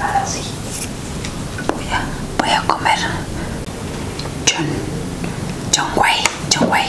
Ahora sí, voy a, voy a comer John, John Way, John Way.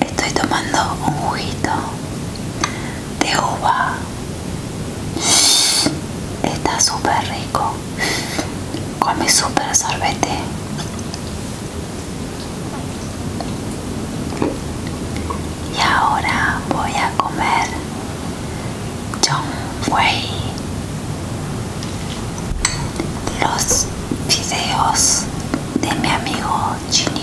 Estoy tomando un juguito de uva. Está súper rico. Con mi súper sorbete. Y ahora voy a comer John Way. Los videos de mi amigo Chinito.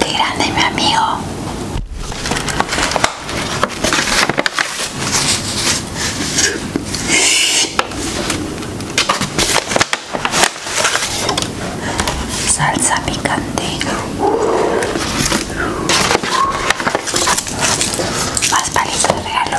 Qué grande mi amigo. Salsa picante. Más palitos de regalo.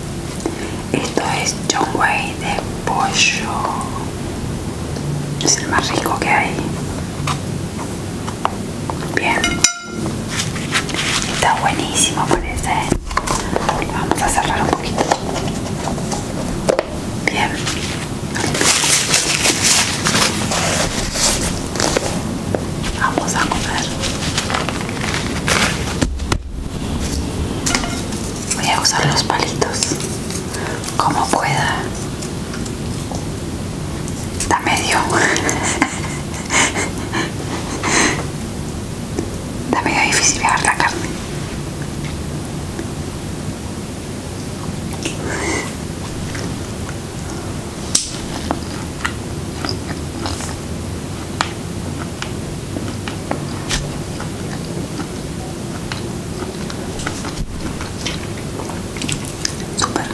Esto es John Way de pollo. Es el más rico que hay. Bien. Está buenísimo, parece. vamos a cerrar un poquito. Bien. Vamos a comer. Voy a usar los palitos como pueda. Está medio. Está medio difícil agarrar la carne. Super.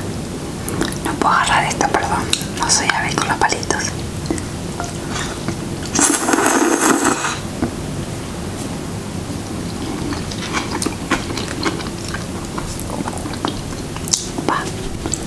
No puedo agarrar esto, perdón. No soy hábil con los palitos.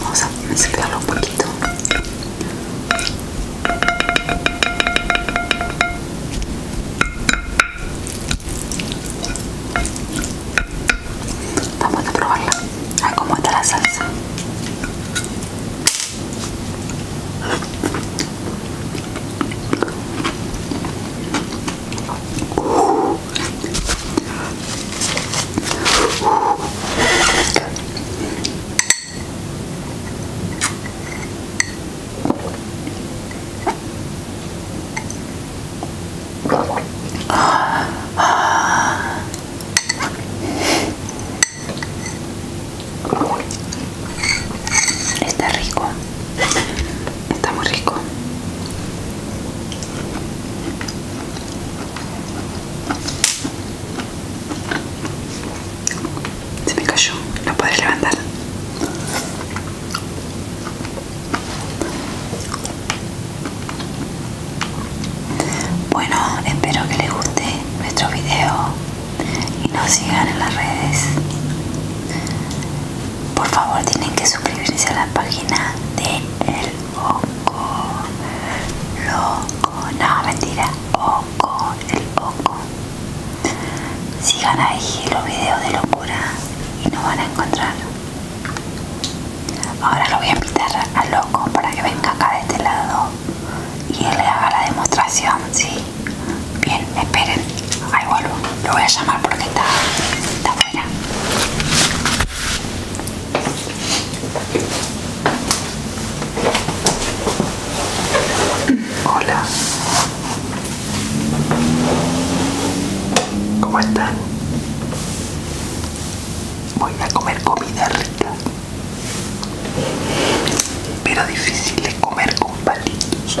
Vamos a mezclarlo un poquito. Vamos a probarla. A está la salsa. Está rico, está muy rico. Se me cayó, no podré levantar. Bueno, espero que les guste nuestro video y nos sigan en las redes. Por favor, tienen que suscribirse a la página de el oco, loco, no, mentira, oco, el poco Sigan ahí los videos de locura y no van a encontrar. Ahora lo voy a invitar al loco para que venga acá de este lado y él le haga la demostración, ¿sí? Bien, esperen, ahí vuelvo. Lo voy a llamar porque está, está afuera. Hola. ¿Cómo están? Voy a comer comida rica. Pero difícil es comer con palitos.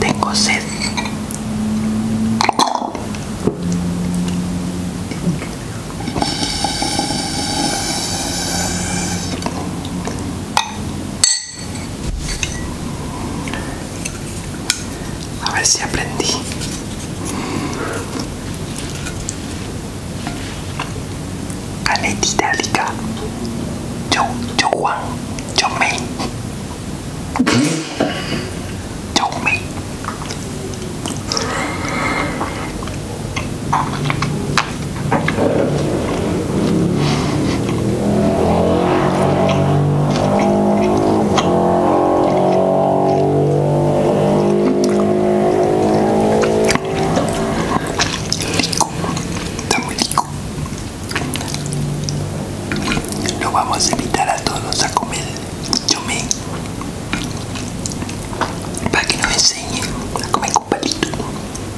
Tengo sed. A ver si aprendí. Caneta itálica. Yo, yo Juan, yo me. Yo me. Está muy rico. Lo vamos a invitar a todos a comer Yo me, para que nos enseñe a comer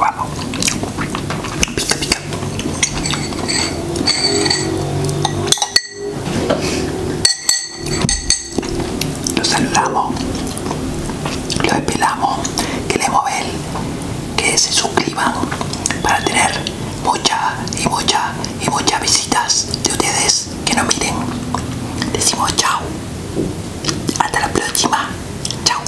Vamos. Pica, pica. Lo saludamos, lo esperamos, que le mueven que se suscriban para tener muchas y muchas y muchas visitas de ustedes que nos miren. Decimos chao. Hasta la próxima. Chao.